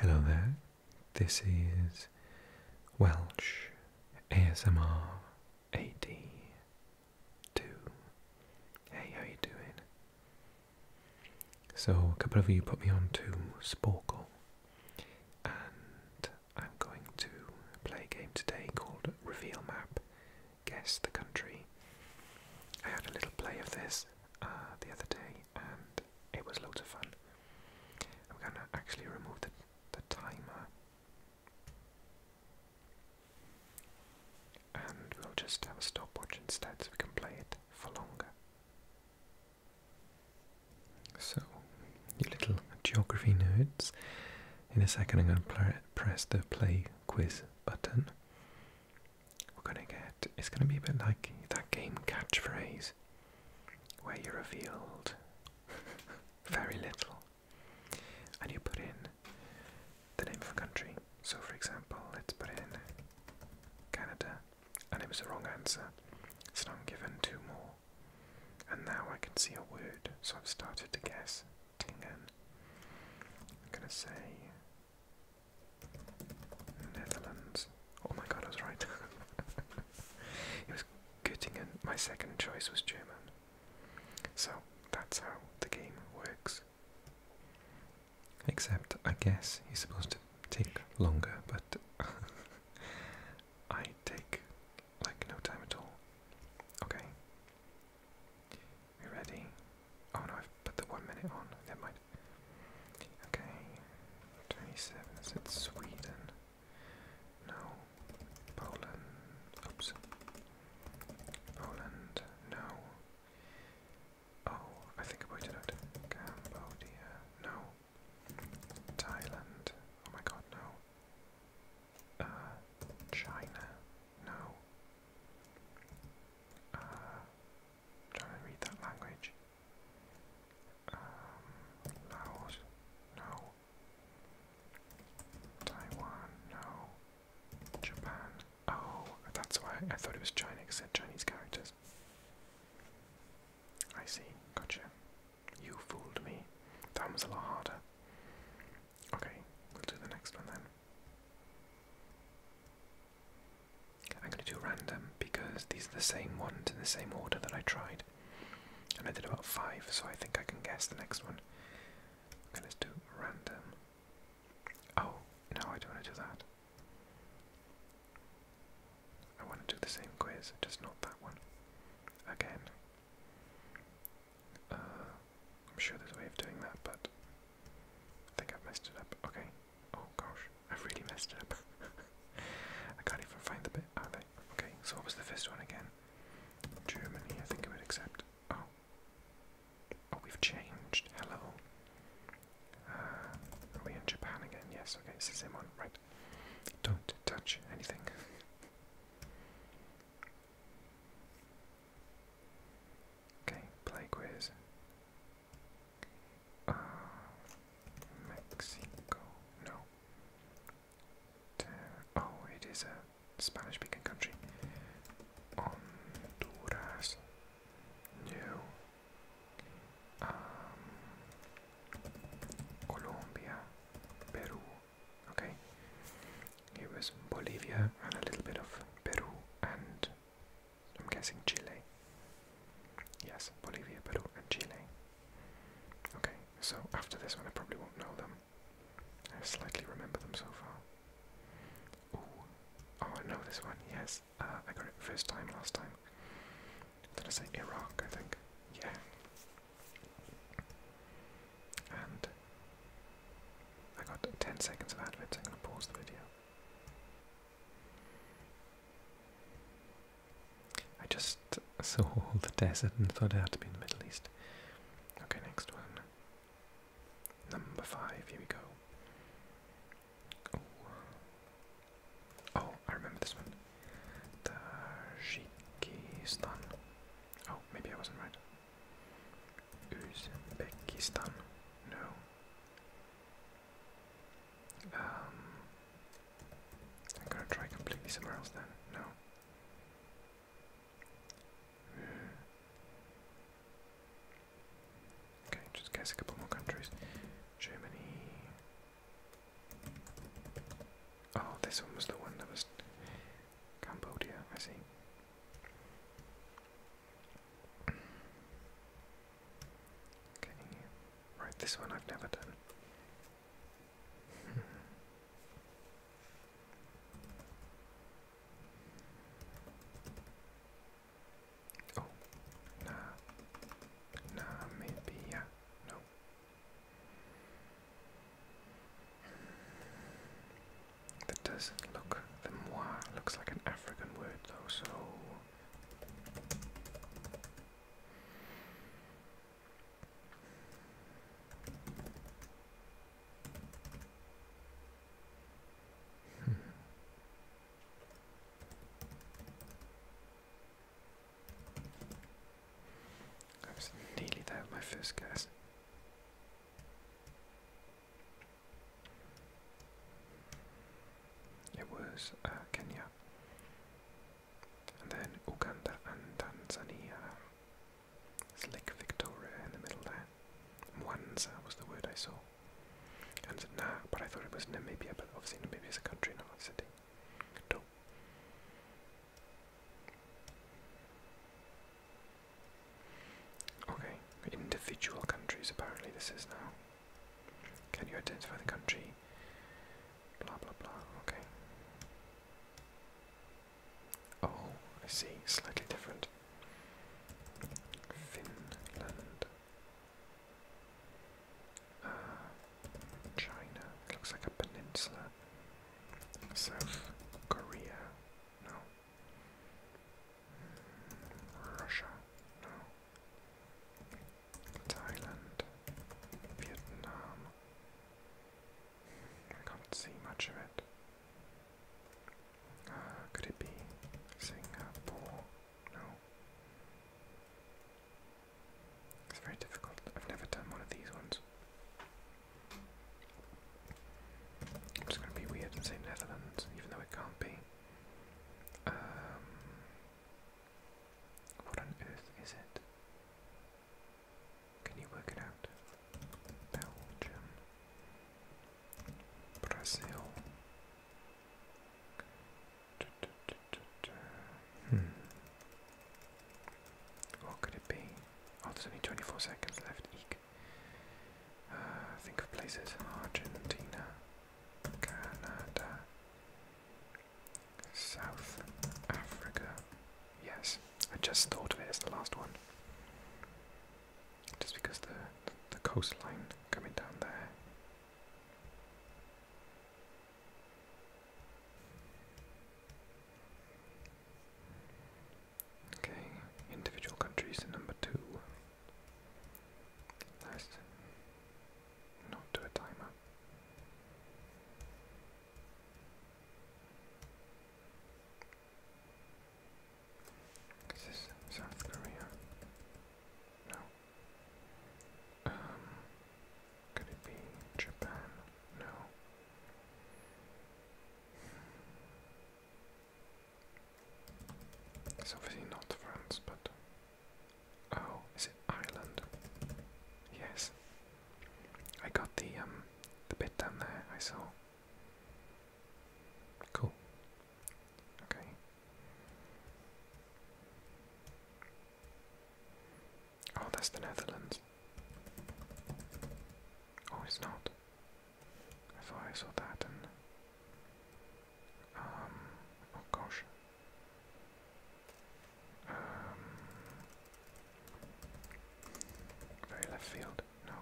Hello there, this is Welsh ASMR 82. Hey, how you doing? So, a couple of you put me on to Sporkle, and I'm going to play a game today called Reveal Map Guess the Country. I had a little play of this uh, the other day, and it was loads of fun. I'm gonna actually remove the, the timer, and we'll just have a stopwatch instead, so we can play it for longer. So, you little geography notes. in a second I'm going to press the play quiz button we're gonna get it's gonna be a bit like that game catchphrase where you are revealed very little and you put in the name of a country. So for example, let's put in Canada and it was the wrong answer. So I'm given two more. And now I can see a word, so I've started to guess Tingen. I'm gonna say Netherlands. Oh my god, I was right. it was Göttingen. My second choice was German. So that's how the game works. Except, I guess he's supposed to take longer, but I take like no time at all. Okay. We ready? Oh no, I've put the one minute on. Never mind. Okay, 27, is it Sweden? No, Poland, oops, Poland, no. Oh, I think I pointed out Cambodia, no. Thailand, oh my god, no. Uh, China, no. Uh, trying to read that language. Um, no. Taiwan, no. Japan, oh, that's why I thought it was China, because it Chinese characters. I see, gotcha. You fooled me. That was a lot harder. Okay, we'll do the next one then. I'm going to do random because these are the same ones in the same order that I tried. And I did about five, so I think I can guess the next one. Okay, let's do random. Oh, no, I don't want to do that. I want to do the same quiz, just not that one. Again. Uh, I'm sure there's a way of doing that, but I think I've messed it up. Okay. Oh gosh. I've really messed up. I can't even find the bit. Are they? Okay, so what was the first one again? Germany, I think it would accept. Oh. Oh, we've changed. Hello. Uh, are we in Japan again? Yes, okay, this is him one. Right. Don't touch anything. Okay, play quiz. Uh, Mexico, no. Uh, oh, it is a Spanish-speaking country. Honduras, no. Um, Colombia, Peru. Okay, it was Bolivia and a little bit of Peru and I'm guessing Chile. Yes, Bolivia, Peru, and Chile. Okay, so after this one, I probably won't know them. I slightly remember them so far. Ooh. Oh, I know this one, yes. Uh, I got it first time last time. Did I say Iraq, I think? Yeah. And I got 10 seconds of adverts, I'm going to pause the video. I just saw all the desert and thought it had to be in the Middle East. Okay, next one. Number five, here we go. Oh, oh I remember this one. The Tajikistan. Oh, maybe I wasn't right. Uzbekistan. No. Um, I'm gonna try completely somewhere else then. No. Okay, just guess a couple more countries. Germany. Oh, this one was the one that was Cambodia, I see right, this one I've never done. oh, nah, nah, maybe, yeah, no. That doesn't look, the moi looks like an African word though, so. Hmm. I was nearly there with my first guess. It was uh, Kenya, and then Uganda and Tanzania. Lake Victoria in the middle there. Mwanza was the word I saw. And nah, but I thought it was Namibia, but obviously Namibia is a country, not a city. Dope. Okay, individual countries apparently this is now. Can you identify the country? Blah blah blah. Okay. Oh, I see. Slightly different. Finland. Uh, China. It looks like a peninsula. South Korea. No. Hmm, Russia. No. Thailand, Vietnam. I can't see much of it. Uh, could it be Singapore? No. It's very difficult. I've never done one of these ones. i going to be weird and say Netherlands, even though it can't be. Um, what on earth is it? Can you work it out? Belgium, Brazil. Hmm. What could it be? Oh, there's only 24 seconds left. Uh, think of places: Argentina, Canada, South Africa. Yes, I just thought of it as the last one. Just because the the coastline coming down there. Okay, individual countries in number two. Nice not to a timer. Is this South Korea? No. Um, could it be Japan? No. It's obviously not France, but Oh, is it Ireland? Yes. I got the um the bit down there I saw. Cool. Okay. Oh, that's the Netherlands. Oh, it's not. I thought I saw that and. Um. Oh gosh. Um, very left field. No,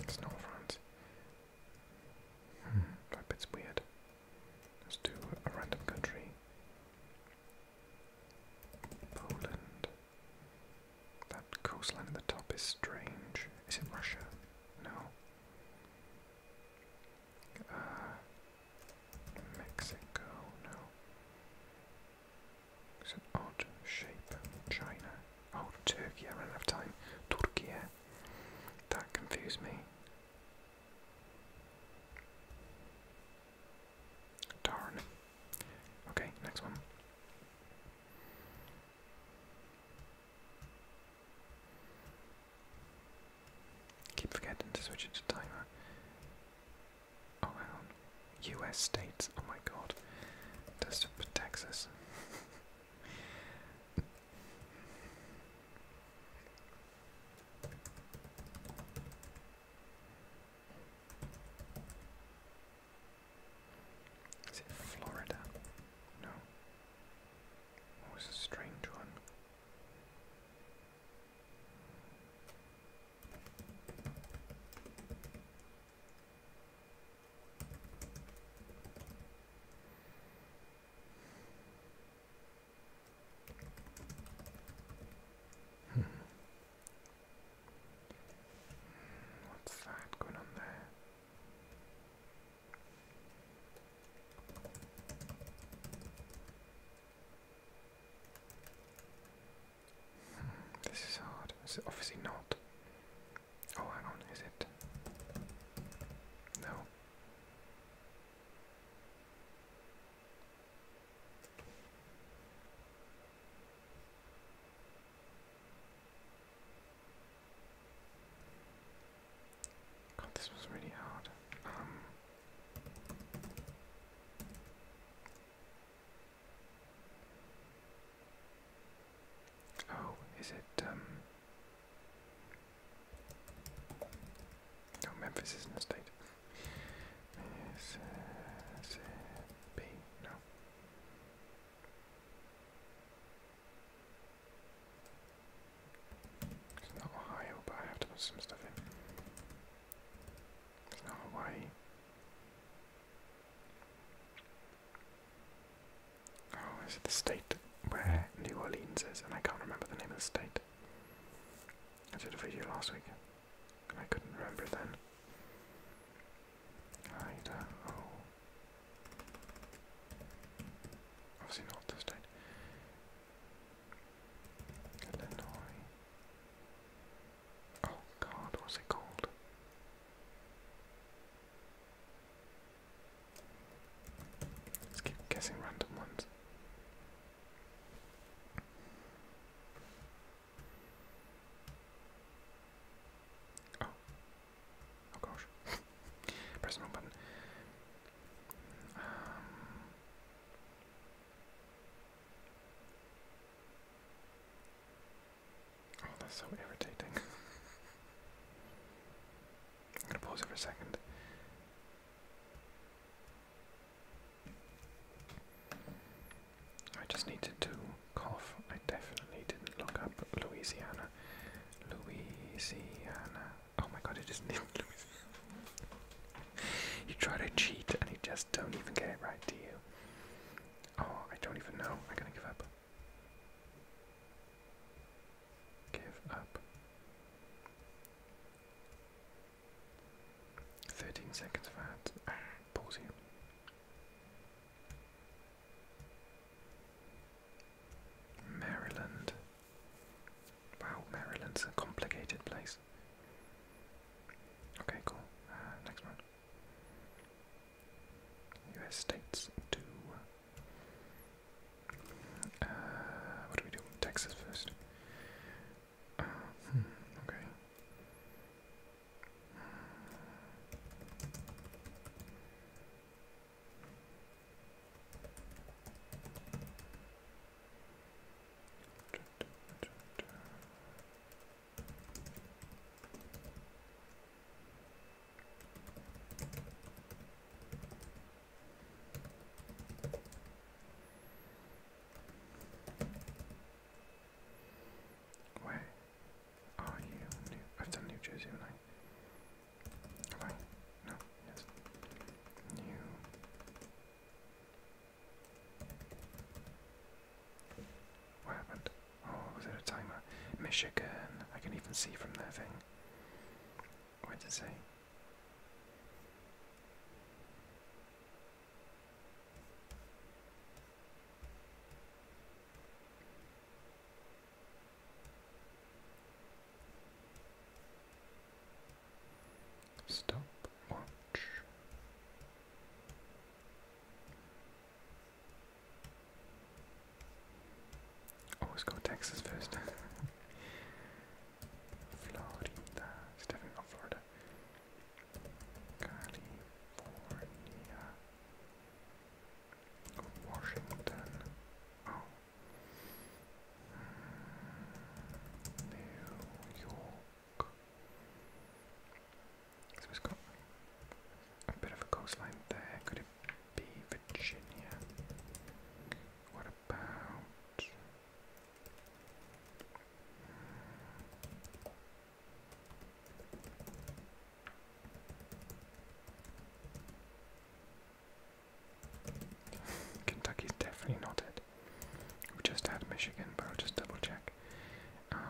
it's not front. Hmm, that bit's weird. Let's do a random country. Poland. That coastline at the top is strange. Is it Russia? No. Uh, Mexico, no. It's an odd shape. China. Oh, Turkey, I ran out of time. Turkey. That confused me. Darn. Okay, next one. Keep forgetting to switch it to timer. Oh, hang on. US states. Oh my god. That's for Texas. Is it Florida? No. What oh, was a strange one? Hmm. What's that going on there? this is hard. It's obviously not? Oh, hang on, is it? No. God, this was really hard. Um, Oh, is it, um... Oh, Memphis is in a state. Mississippi, uh, no. It's not Ohio, but I have to put some stuff in. It's not Hawaii. Oh, is it the state where New Orleans is? And I can't remember the name of the state. I did a video last week, I couldn't remember then. I don't know. Obviously not the state. Illinois. Oh God, what's it called? Let's keep guessing random ones. Oh, oh gosh, press the wrong button. Um, Oh, that's so irritating. I'm gonna pause it for a second. I just needed to cough. I definitely didn't look up Louisiana. Louisiana. Oh my god, it just you try to cheat and you just don't even get it right, do you? Oh, I don't even know. I'm gonna give up. Give up. 13 seconds of Pause here. Maryland. Wow, Maryland's a complicated place. Okay, cool. Uh, next one. U.S. states to. Uh, what do we do? Texas first. Uh, hmm, okay. Where are you? I've done oh, New Jersey, haven't No, New what happened? Oh, was it a timer? Michigan. I can even see from their thing. What did it say? Stop watch. Always go Texas first. Florida, definitely not Florida. California, Washington. Oh. New York. So a bit of a coastline there. Could it be Virginia? What about Kentucky's definitely not it. We just had Michigan, but I'll just double check. Um,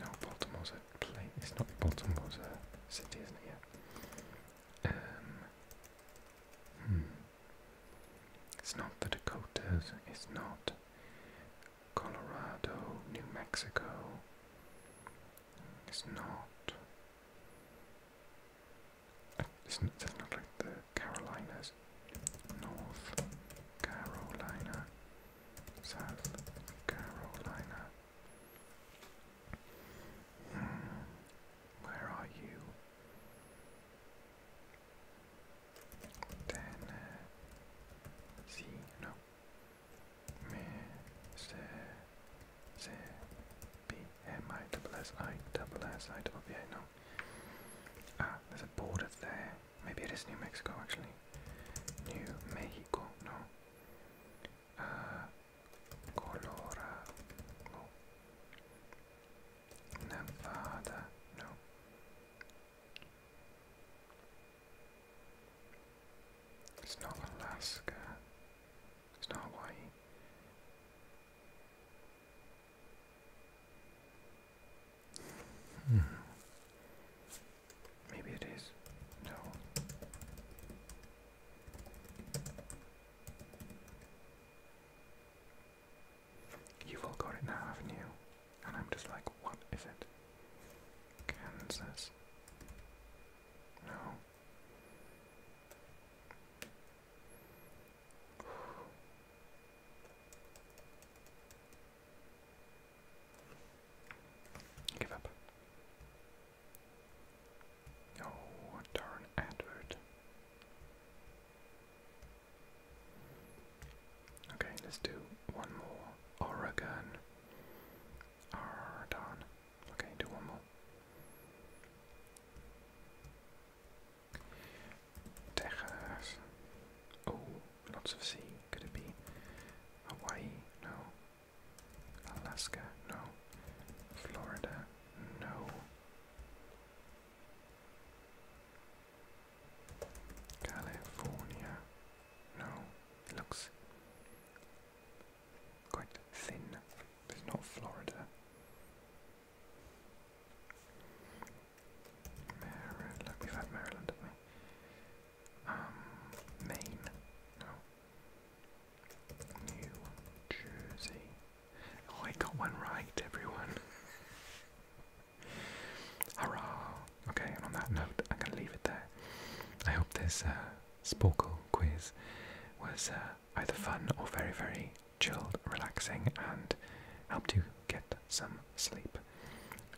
no, Baltimore's a place. It's not Baltimore's a city, isn't it? Yeah. Um, hmm. It's not the Dakotas. It's not Colorado, New Mexico. It's not. It's not like the Carolinas. North Carolina, South Carolina. Hmm. Where are you? Then, uh, yeah, no. Ah, there's a border there. Maybe it is New Mexico, actually. New Mexico, no. Uh, Colorado. Nevada, no. It's not Alaska. It's not Hawaii. Hmm. Maybe it is. No. You've all got it now, haven't you? And I'm just like, what is it? Kansas. No. Give up. Oh, darn advert. Okay, let's do one more. Oregon. Oh, darn. Okay, do one more. Texas. Oh, lots of sea. Could it be Hawaii? No. Alaska? No. Florida? No. California? No. looks quite thin. It's not Florida. Maryland. we've had Maryland, Um, Maine. No. New Jersey. Oh, I got one right, everyone. Hurrah! Okay, and on that note, I'm gonna leave it there. I hope this Sporkle quiz was uh, either fun or very, very chilled, relaxing, and helped you get some sleep.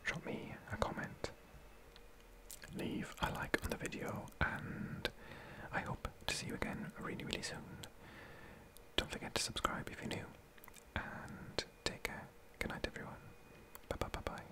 Drop me a comment, leave a like on the video, and I hope to see you again really, really soon. Don't forget to subscribe if you're new, and take care. Good night, everyone. Bye bye bye bye.